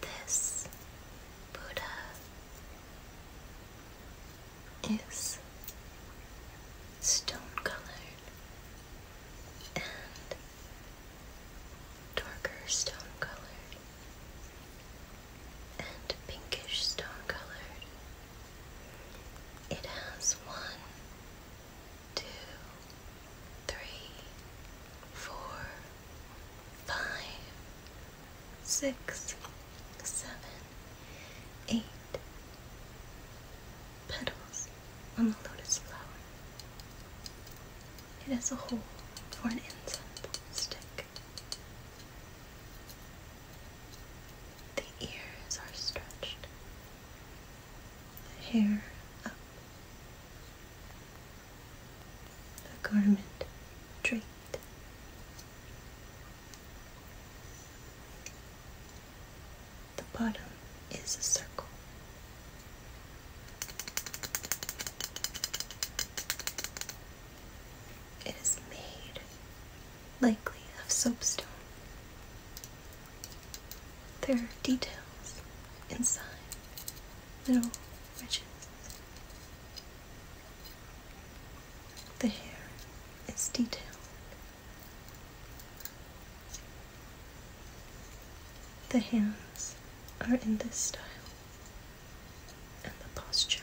This Buddha is stone colored and darker stone colored and pinkish stone colored. It has one, two, three, four, five, six, seven, eight petals on the lotus flower. It has a hole for an incense stick. The ears are stretched, the hair up a garment draped. The bottom is a circle. It is made likely of soapstone. There are details inside, little ridges. The hair is detailed. The hands are in this style, and the posture.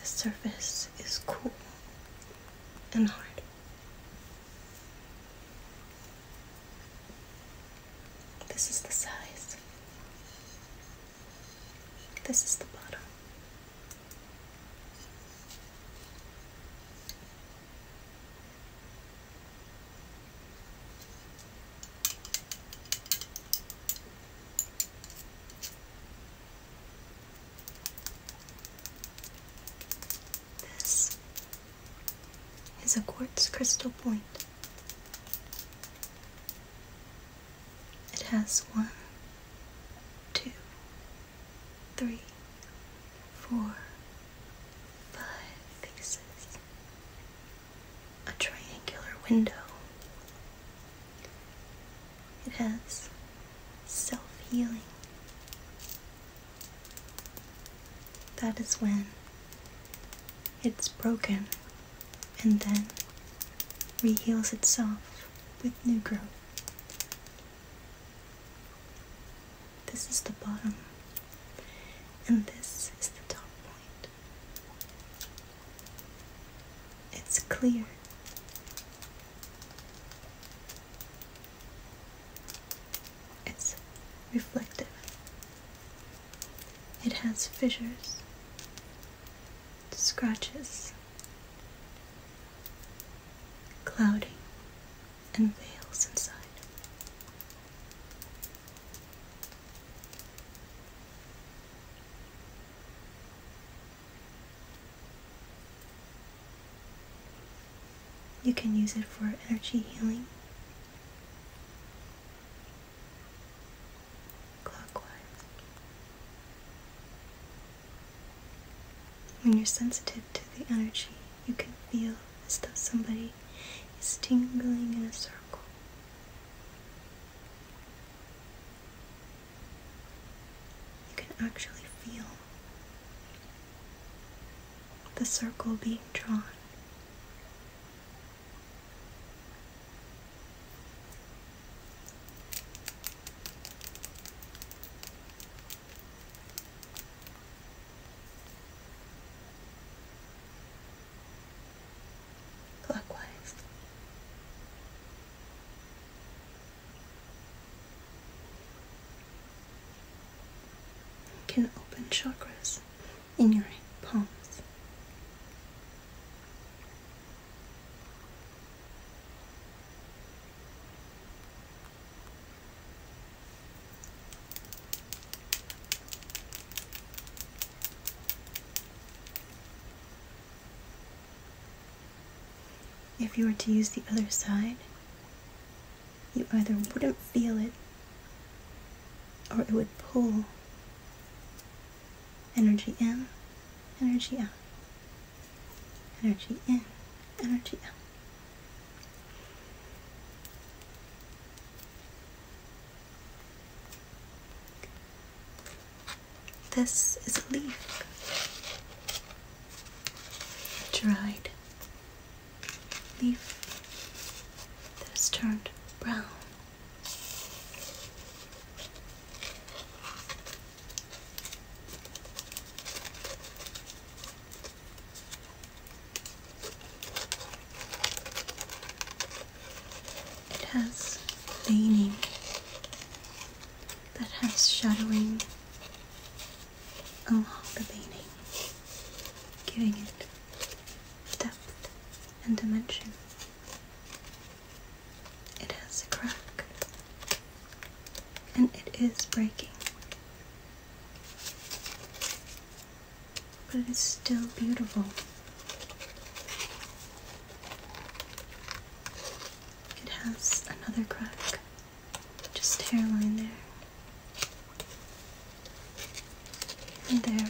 The surface is cool and hard. This is the size. This is the bottom. This is a quartz crystal point. It has one, two, three, four, five faces a triangular window. It has self healing. That is when it's broken and then re-heals itself with new growth. This is the bottom, and this is the top point. It's clear. It's reflective. It has fissures, scratches, clouding, and veils inside. You can use it for energy healing. Clockwise. When you're sensitive to the energy, you can feel as though somebody is tingling in a circle. You can actually feel the circle being drawn clockwise. You can open chakras in your palms. If you were to use the other side, you either wouldn't feel it or it would pull energy in, energy out, energy in, energy out. This is a leaf. Dried leaf that has turned brown. It has veining that has shadowing along oh, the veining, giving it depth and dimension. It has a crack and it is breaking. But it's still beautiful. It has another crack, just hairline there. there.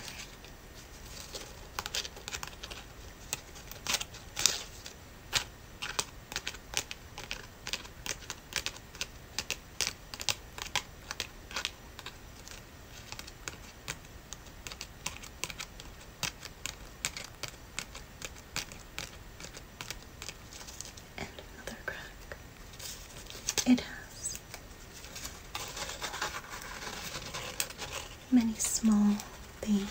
And another crack. It has many small things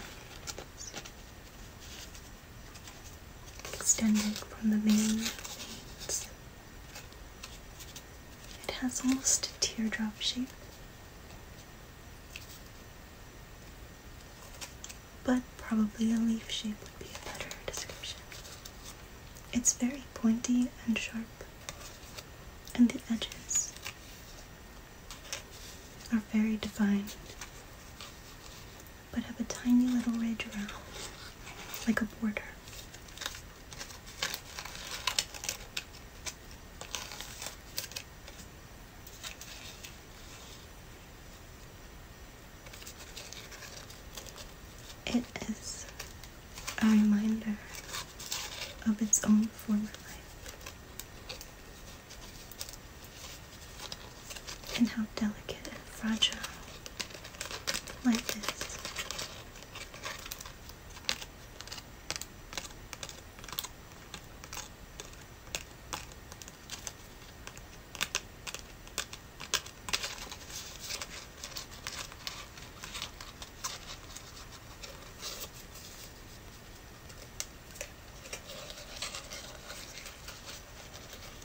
Extended from the main veins. It has almost a teardrop shape, but probably a leaf shape would be a better description. It's very pointy and sharp, and the edges are very defined but have a tiny little ridge around, like a border. It is a reminder of its own former life and how delicate and fragile life is.